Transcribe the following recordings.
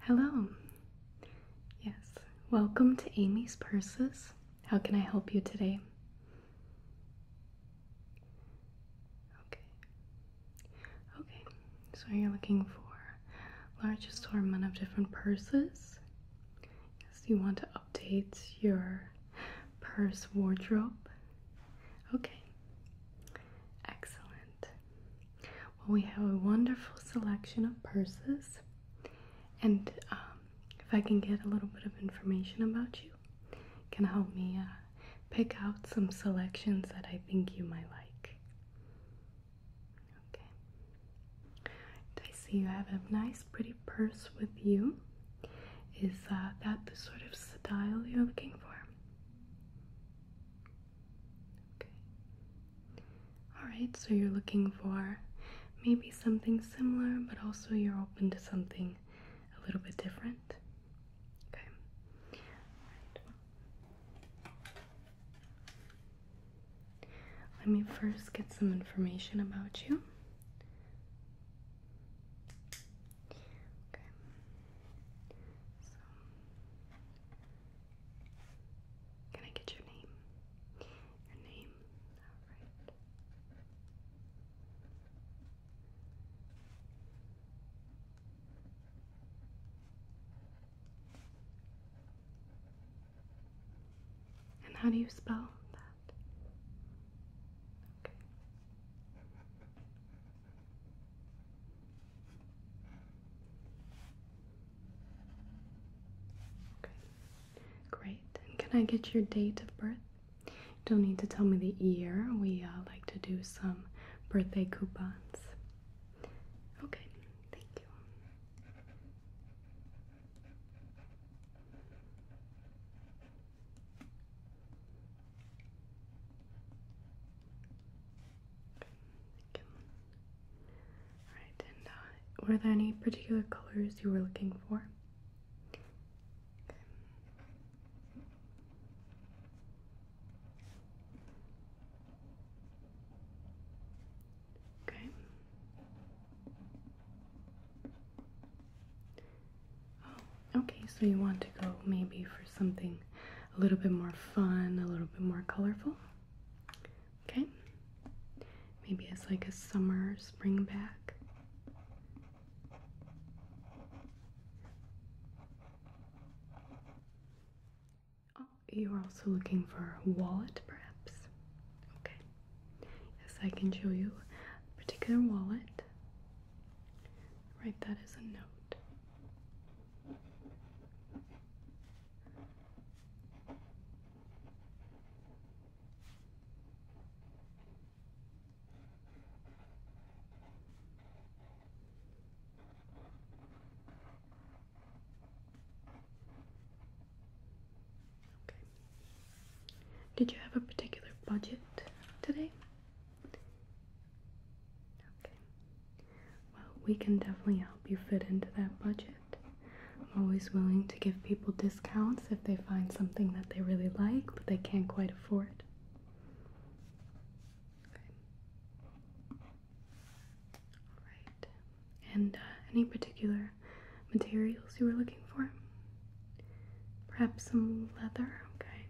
Hello. Yes, welcome to Amy's Purses. How can I help you today? Okay. Okay, so you're looking for large assortment of different purses. Yes, you want to update your purse wardrobe. Okay, excellent. Well, we have a wonderful selection of purses, and um, if I can get a little bit of information about you, can help me uh, pick out some selections that I think you might like. I see you have a nice, pretty purse with you. Is uh, that the sort of style you're looking for? Okay. Alright, so you're looking for maybe something similar, but also you're open to something a little bit different. Okay. Let me first get some information about you can I get your name? Your name? Alright. And how do you spell that? great. And can I get your date of birth? don't need to tell me the year. We uh, like to do some birthday coupons. Okay, thank you. Alright, and uh, were there any particular colors you were looking for? Okay. Oh, okay, so you want to go maybe for something a little bit more fun, a little bit more colorful. Okay, maybe it's like a summer spring bag. Oh, you're also looking for wallet, perhaps. Okay, yes, I can show you a particular wallet. Write that as a note. Okay. Did you have a particular budget today? Okay. Well, we can definitely help you fit into that budget. I'm always willing to give people discounts if they find something that they really like but they can't quite afford. Okay. And uh, any particular materials you were looking for? Perhaps some leather, okay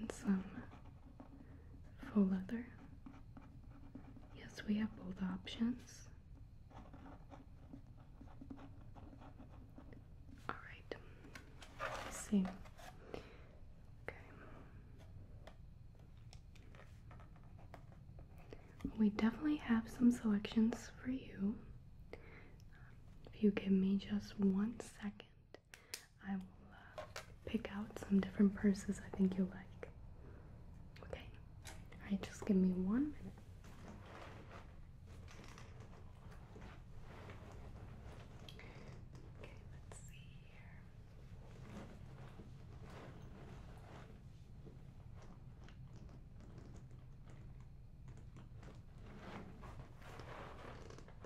and some faux leather. Yes, we have both options. Alright, see. Okay. We definitely have some selections for you. If you give me just one second. I will uh, pick out some different purses I think you'll like. Okay? Alright, just give me one minute. Okay.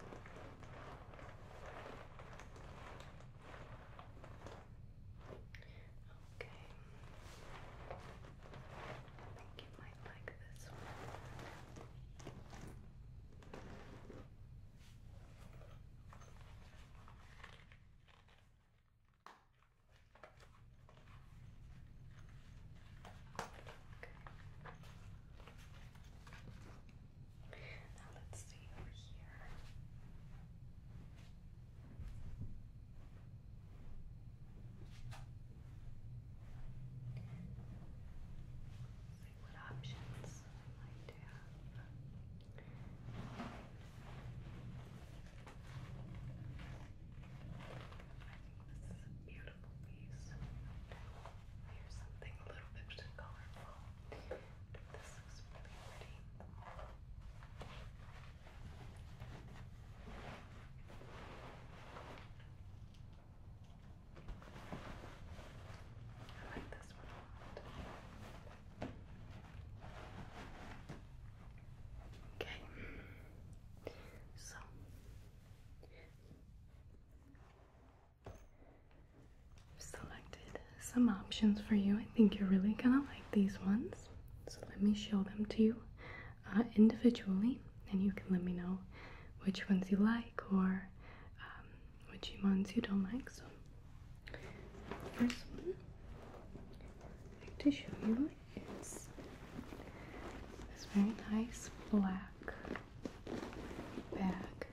I think you might like this one. Okay. Now let's see over here. See what options I might have. I think this is beautiful Here's something a little bit colorful. This looks really pretty. I like this one a lot. Okay, so I've selected some options for you. I think you're really gonna like these ones. So let me show them to you uh, individually, and you can let me know which ones you like or um, which ones you don't like. So first one I'd like to show you it's this very nice black bag.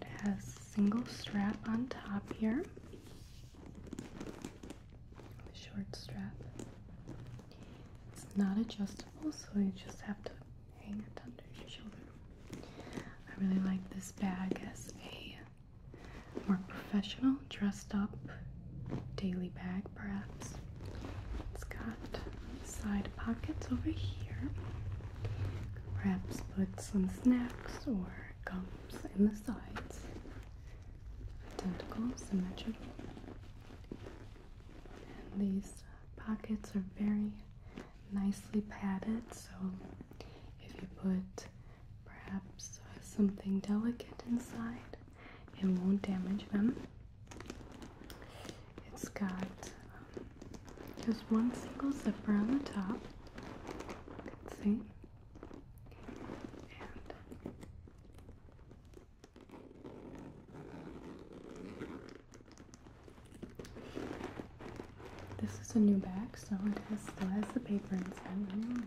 It has single strap on top here, the short strap. It's not adjustable, so you just have to hang it under your shoulder. I really like this bag as a more professional, dressed up daily bag, perhaps. It's got side pockets over here. Perhaps put some snacks or gums in the sides. Identical, symmetrical. these pockets are very nicely padded, so if you put perhaps uh, something delicate inside, it won't damage them. It's got um, just one single zipper on the top. You can see. And this is a new bag, so it has, still has the paper inside.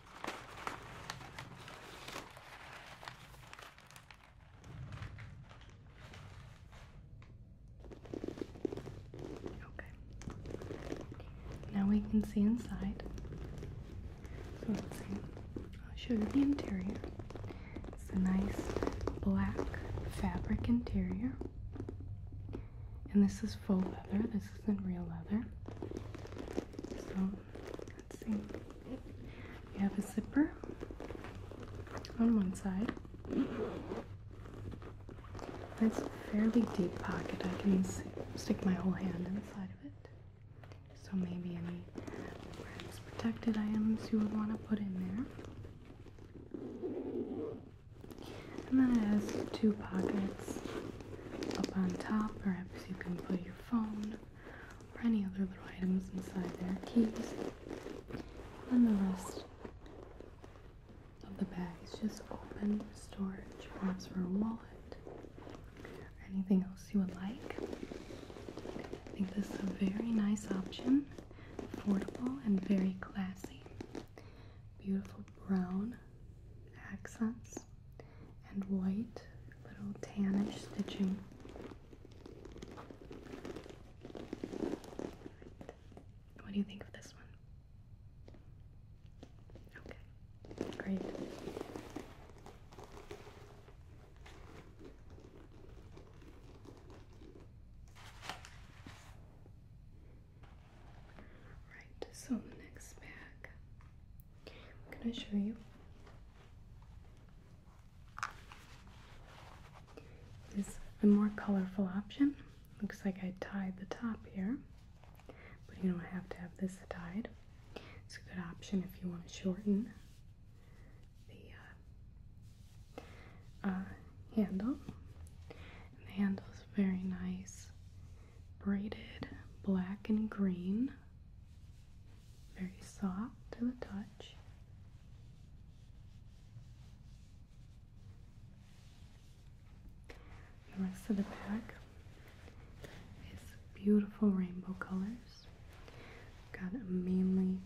Okay. Now we can see inside. So I'll show you the interior. It's a nice black fabric interior. And this is faux leather. This isn't real leather. So you have a zipper on one side. It's a fairly deep pocket. I can stick my whole hand inside of it. So maybe any protected items you would want to put in there. And then it has two pockets up on top. Perhaps you can put your phone or any other little items inside there, keys, and the rest of the bag is just open storage, perhaps for a wallet anything else you would like. I think this is a very nice option, affordable and very classy. Beautiful brown accents and white, little tannish stitching. What do you think of this one? Okay, great. Right, so the next bag I'm gonna show you. This is a more colorful option. Looks like I tied the top here, but you don't have to have this tied. It's a good option if you want to shorten the uh, uh, handle. And the handle is very nice, braided, black and green very soft to the touch. The rest of the back is beautiful rainbow colors. Got a mainly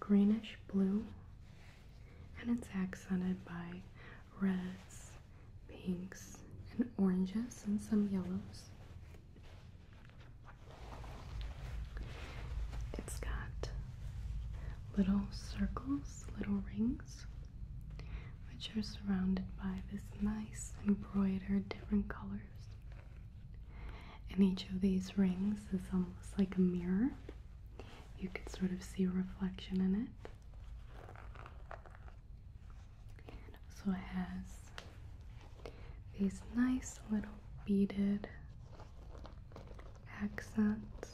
greenish blue, and it's accented by reds, pinks, and oranges, and some yellows. It's got little circles, little rings, which are surrounded by this nice embroidered different colors. And each of these rings is almost like a mirror. You could sort of see a reflection in it. So It has these nice little beaded accents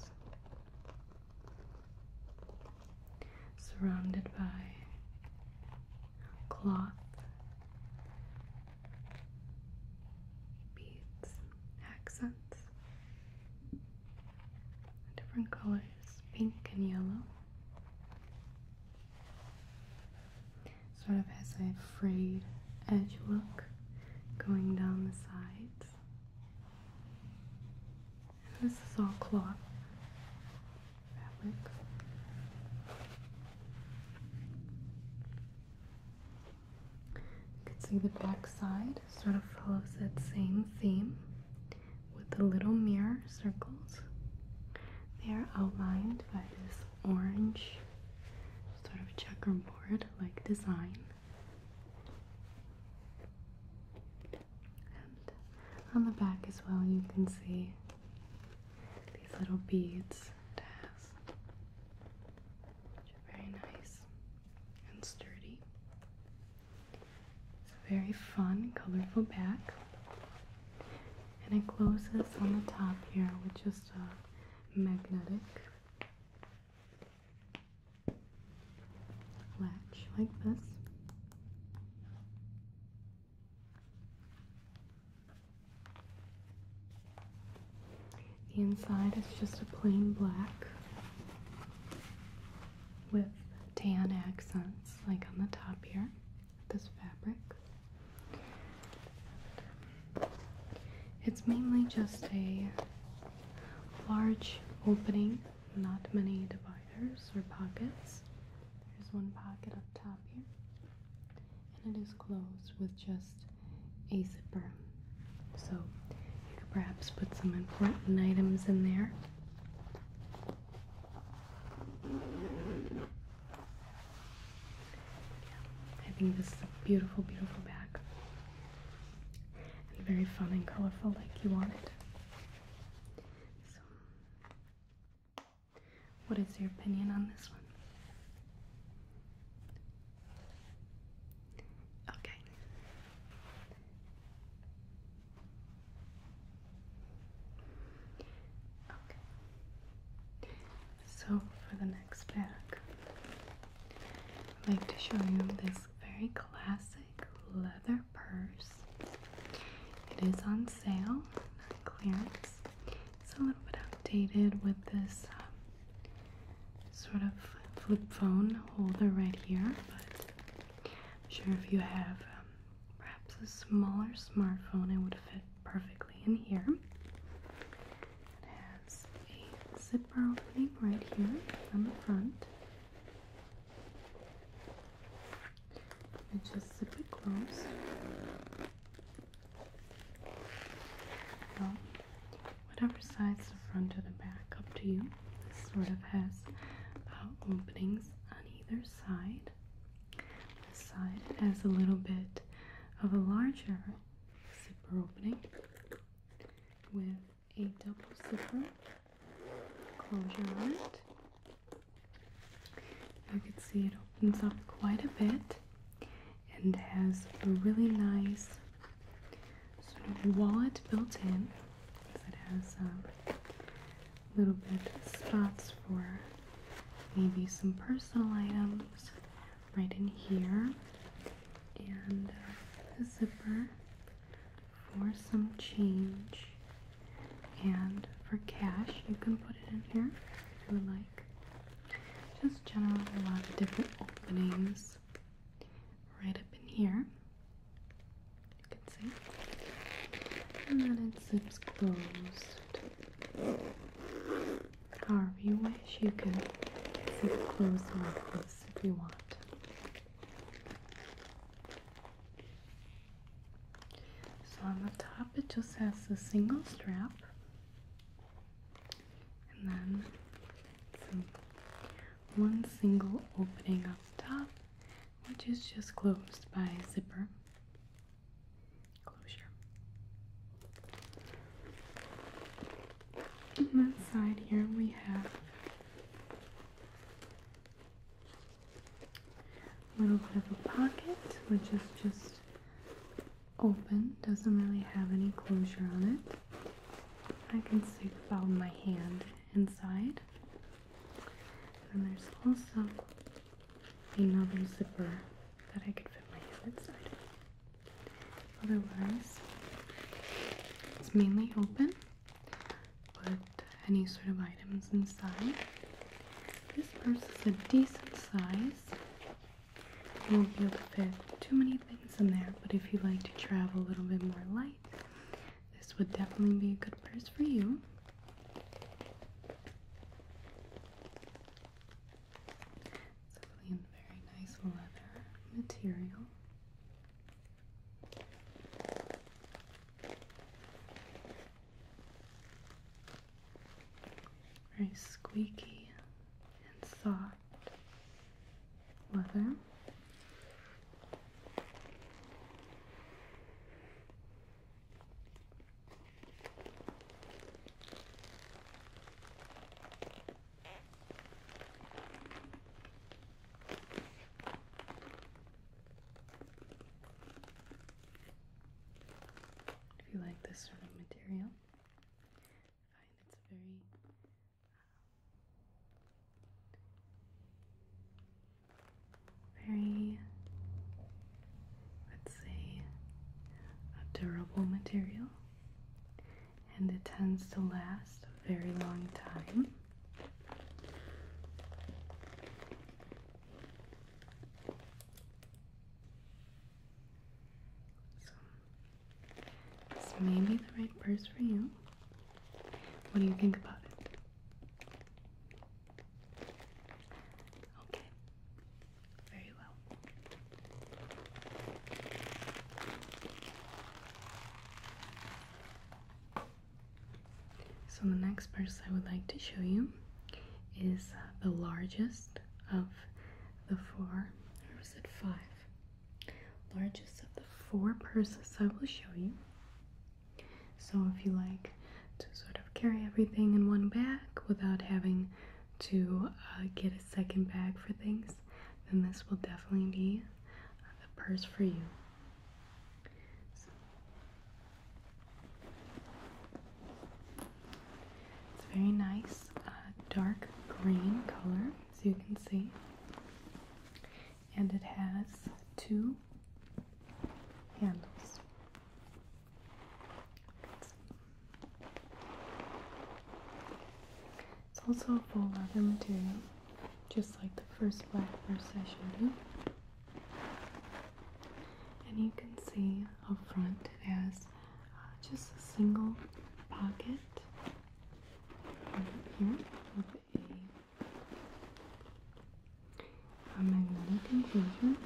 surrounded by cloth beads, accents, different colors, pink and yellow sort of has a frayed edge look going down the sides. And this is all cloth fabric. You can see the back side sort of follows that same theme with the little mirror circles. They are outlined by this orange sort of checkerboard like design. And on the back as well, you can see these little beads which are very nice and sturdy. It's a very fun, colorful back. And it closes on the top here which is just magnetic latch like this. The inside is just a plain black with tan accents, like on the top here this fabric. It's mainly just a large opening, not many dividers or pockets. There's one pocket up top here, and it is closed with just a zipper. So you could perhaps put some important items in there. I think this is a beautiful, beautiful bag. And very fun and colorful like you wanted. So, what is your opinion on this one? Okay. Okay. So for the next bag, I'd like to show you this very classic leather purse. It is on sale, clearance. It's a little bit outdated with this um, sort of flip phone holder right here, but I'm sure if you have um, perhaps a smaller smartphone, it would fit perfectly in here. It has a zipper opening right here on the front. And just zip it closed. whatever size the front or the back, up to you. This sort of has uh, openings on either side. This side has a little bit of a larger zipper opening with a double zipper closure on it. You can see it opens up quite a bit and has a really nice sort of wallet built in because it has a um, little bit of spots for maybe some personal items right in here, and uh, the zipper for some change and for cash. You can put it in here if you like. Just general, a lot of different openings right up in here. You can see. And then it zips closed however you wish. You can zip close or close if you want. So on the top, it just has a single strap, and then one single opening up top, which is just closed by zipper closure. On that side here we have a little bit of a pocket, which is just open, doesn't really have any closure on it. I can stick about my hand inside. And there's also another zipper that I could fit my hand inside. Otherwise, it's mainly open. Put any sort of items inside. This purse is a decent size. You won't be able to fit too many things in there, but if you like to travel a little bit more light, this would definitely be a good purse for you. It's definitely in very nice leather material. Very squeaky and soft leather. If you like this sort of material, find it's a very um, very, let's say, a durable material and it tends to last a very long time. So, this may be the right purse for you. What do you think about it? Okay very well. So, the next purse I would like to show you is uh, the largest of the four, or was it five? Largest of the four purses I will show you. So, if you like to sort of carry everything in one bag without having to uh, get a second bag for things, then this will definitely be uh, the purse for you. So. It's very nice, uh, dark green color, as you can see, and it has two handles. It's also a full leather material, just like the first black purse I showed you. And you can see up front it has uh, just a single pocket right here with a, a magnetic inclusion.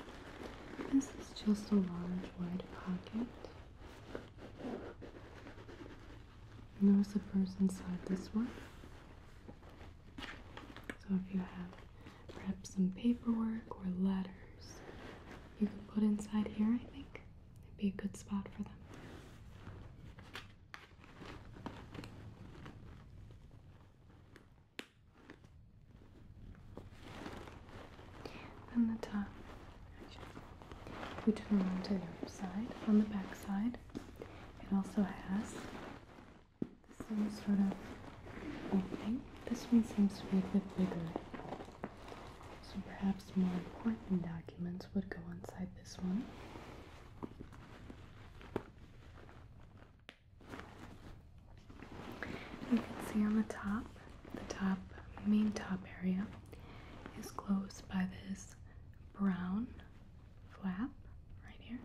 This is just a large wide pocket. Notice the purse inside this one. So if you have perhaps some paperwork or letters, you could put inside here, I think. It'd be a good spot for them and the top we turn around to the other side on the back side it also has the same sort of opening this one seems to be a bit bigger so perhaps more important documents would go inside this one you can see on the top the top main top area is closed by this brown flap right here.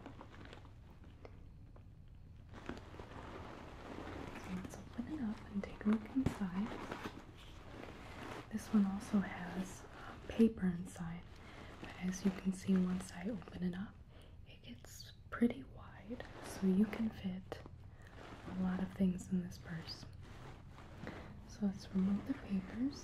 let's open it up and take a look inside. This one also has paper inside, but as you can see, once I open it up, it gets pretty wide, so you can fit a lot of things in this purse. So let's remove the papers.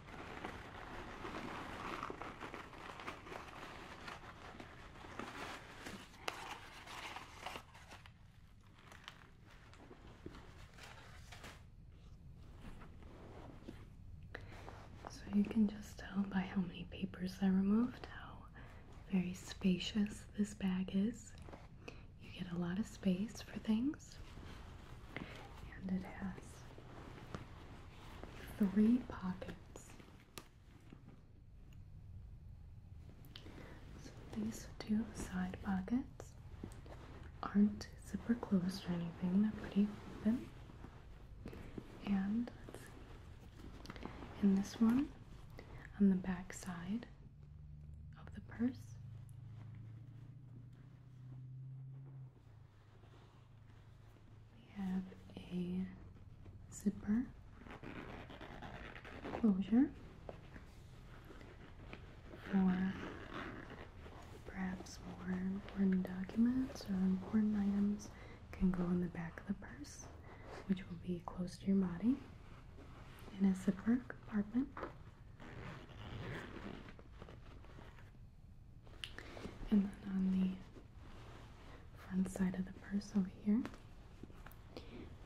So you can just tell by how many papers I removed how very spacious this bag is. You get a lot of space for things. And it has three pockets. these two side pockets aren't super closed or anything, they're pretty open. And In this one, on the back side of the purse, we have a zipper closure for perhaps more important documents or important items can go in the back of the purse, which will be close to your body in a zipper compartment. And then on the front side of the purse over here,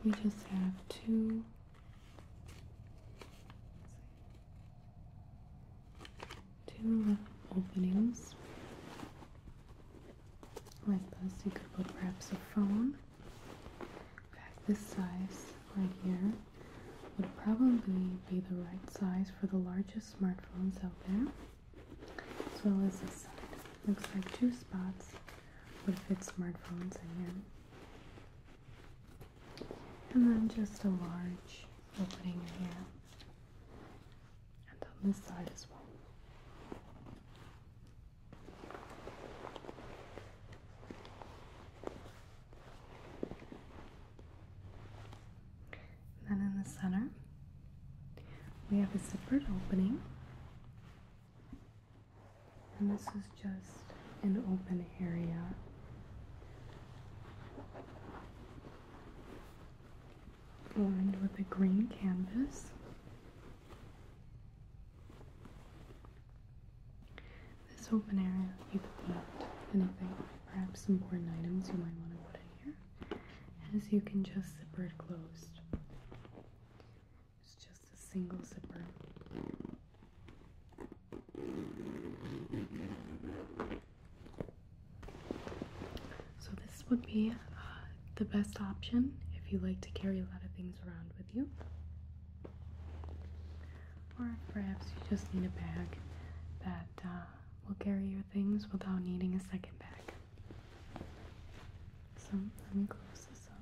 we just have two two openings like this. You could put perhaps a phone back this size right here would probably be the right size for the largest smartphones out there, as well as this side. Looks like two spots would fit smartphones in here. And then just a large opening here. And on this side as well then in the center, we have a zippered opening. And this is just an open area. Lined with a green canvas. This open area, you could put anything perhaps important items you might want to put in here, as you can just zip it closed. It's just a single zipper. So, this would be uh, the best option if you like to carry a lot of things around with you. Or perhaps you just need a bag that uh, will carry your things without needing a second bag. So let me close this up.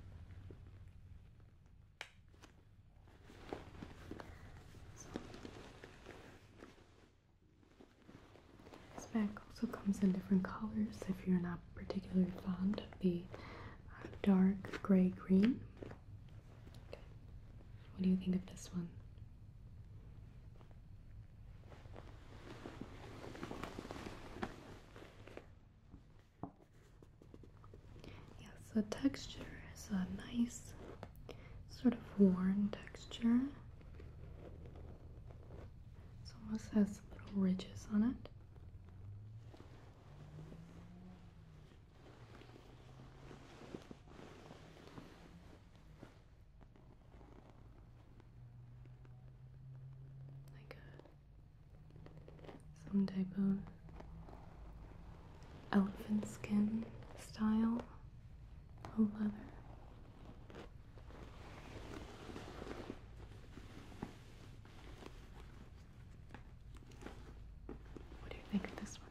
So, this bag also comes in different colors if you're not particularly fond of the uh, dark gray green. What do you think of this one? Yes, the texture is a nice sort of worn texture. It almost has little ridges on it. Like some type of elephant skin style of leather. What do you think of this one?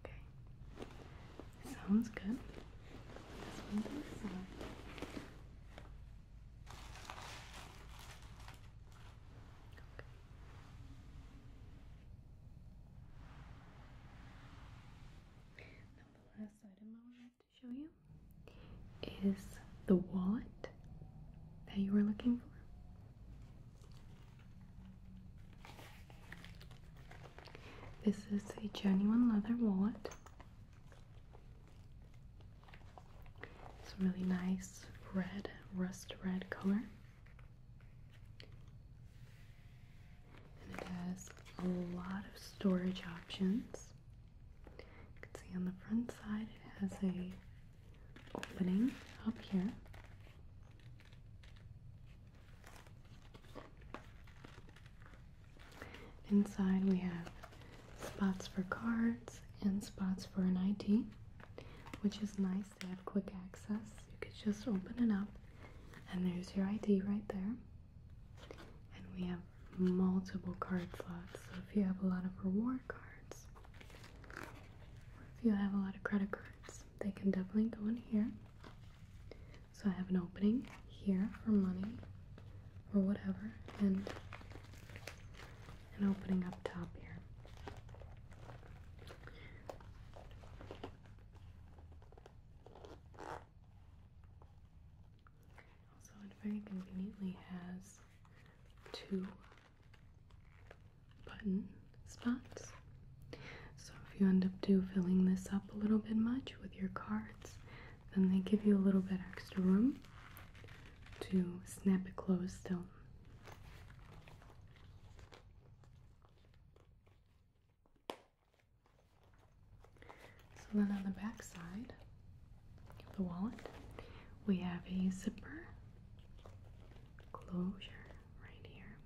Okay. Sounds good. Okay. the last item I would to show you is the wallet that you were looking for. This is a genuine leather wallet. It's a really nice red, rust red color. And it has a lot of storage options. You can see on the front side it has a opening up here. Inside we have spots for cards and spots for an ID, which is nice. They have quick access. You could just open it up and there's your ID right there. And we have multiple card slots. So if you have a lot of reward cards, if you have a lot of credit cards, they can definitely go in here. So I have an opening here for money or whatever, and an opening up top here. So it very conveniently has two button spots. So if you end up do filling this up a little bit much with your cards, then they give you a little bit extra room to snap it closed still. So then on the back side of the wallet, we have a zipper closure right here.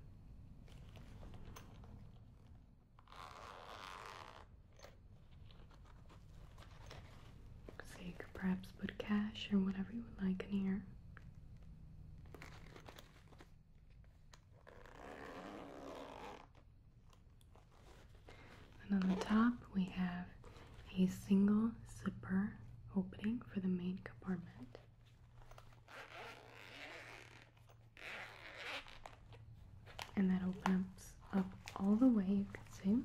So you could perhaps put cash or whatever you would like in here. And on the top, we have a single zipper opening for the main compartment and that opens up all the way you can see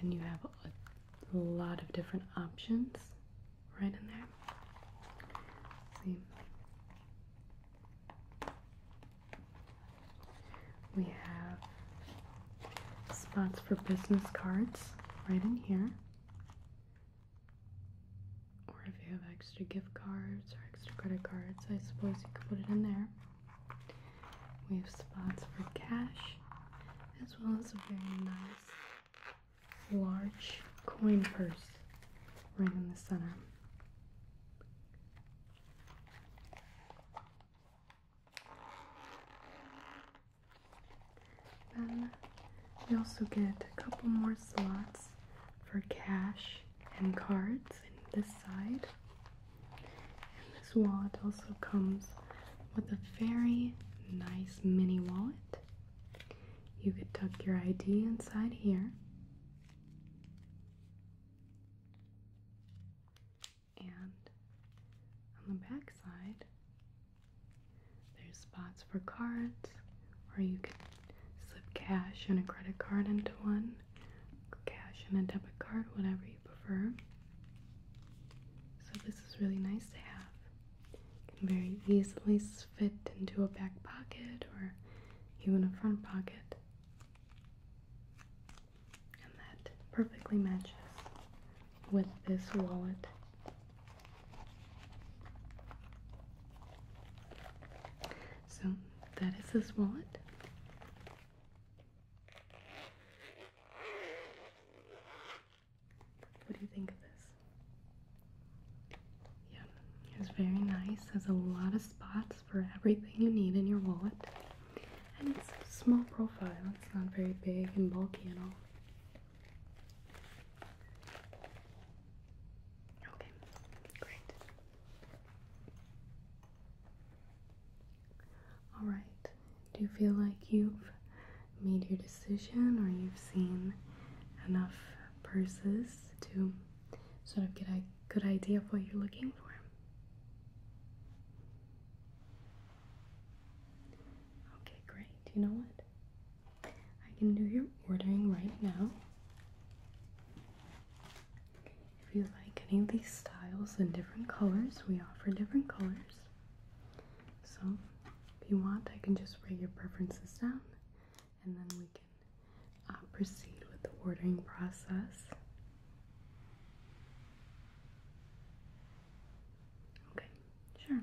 and you have a lot of different options right in there see we have spots for business cards right in here or if you have extra gift cards or extra credit cards, I suppose you could put it in there. We have spots for cash as well as a very nice large coin purse right in the center. Then we also get a couple more slots for cash and cards in this side. And this wallet also comes with a very nice mini wallet. You could tuck your ID inside here. And on the back side, there's spots for cards, or you can slip cash and a credit card into one, cash and a debit card, whatever you prefer. So this is really nice to have. can very easily fit into a back pocket or even a front pocket. And that perfectly matches with this wallet. So that is this wallet. What do you think of this? Yeah, it's very nice. Has a lot of spots for everything you need in your wallet. And it's a small profile. It's not very big and bulky at all. Okay, great. All right. Do you feel like you've made your decision or you've seen enough purses to sort of get a good idea of what you're looking for? Okay, great. You know what? I can do your ordering right now. If you like any of these styles in different colors, we offer different colors. So, if you want, I can just write your preferences down and then we can uh, proceed with the ordering process. Okay, sure.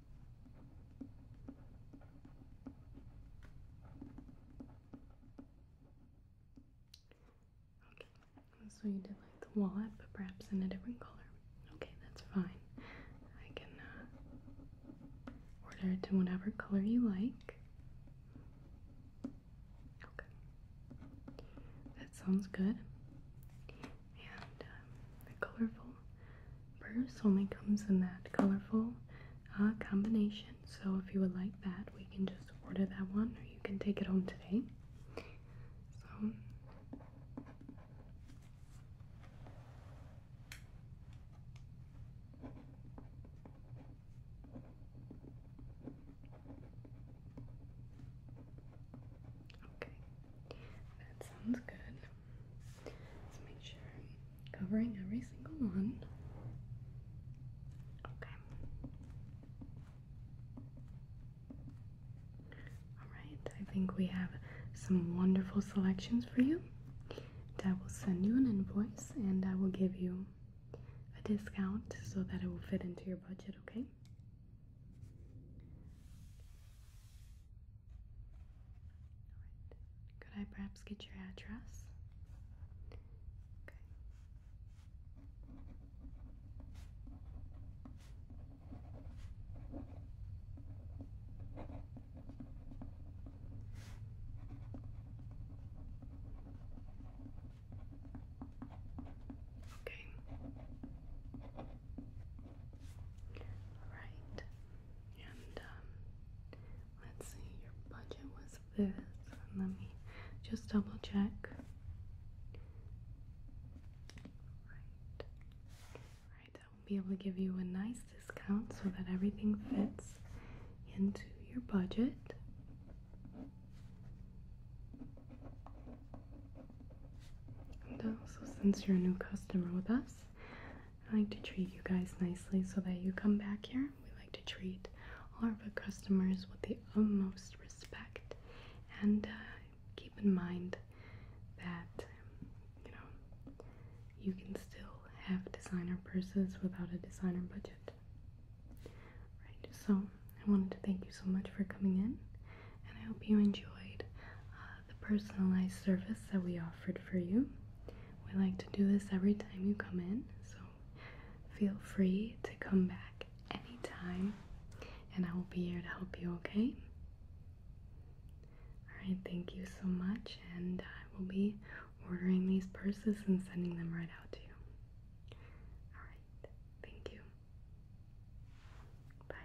Okay, so you did like the wallet, but perhaps in a different color. Okay, that's fine. I can uh, order it in whatever color you like. Okay, that sounds good. And um, colorful Bruce only comes in that colorful uh, combination. So if you would like that, we can just order that one or you can take it home today. Okay, that sounds good. Let's make sure covering every single one. Okay. Alright, I think we have some wonderful selections for you. And will send you an invoice and I will give you a discount so that it will fit into your budget, okay? Could I perhaps get your address? Okay. Okay. And um, Let's see, your budget was this. Let me just double check. Right. Right, that will be able to give you a nice discount so that everything fits into your budget. also, since you're a new customer with us, I like to treat you guys nicely so that you come back here. We like to treat all of our customers with the utmost respect and uh, keep in mind that you know you can still have designer purses without a designer budget. Right, so I wanted to thank you so much for coming in and I hope you enjoyed uh, the personalized service that we offered for you. We like to do this every time you come in, so feel free to come back anytime and I will be here to help you, okay? Alright, thank you so much, and I will be ordering these purses and sending them right out to you. Alright, thank you. Bye.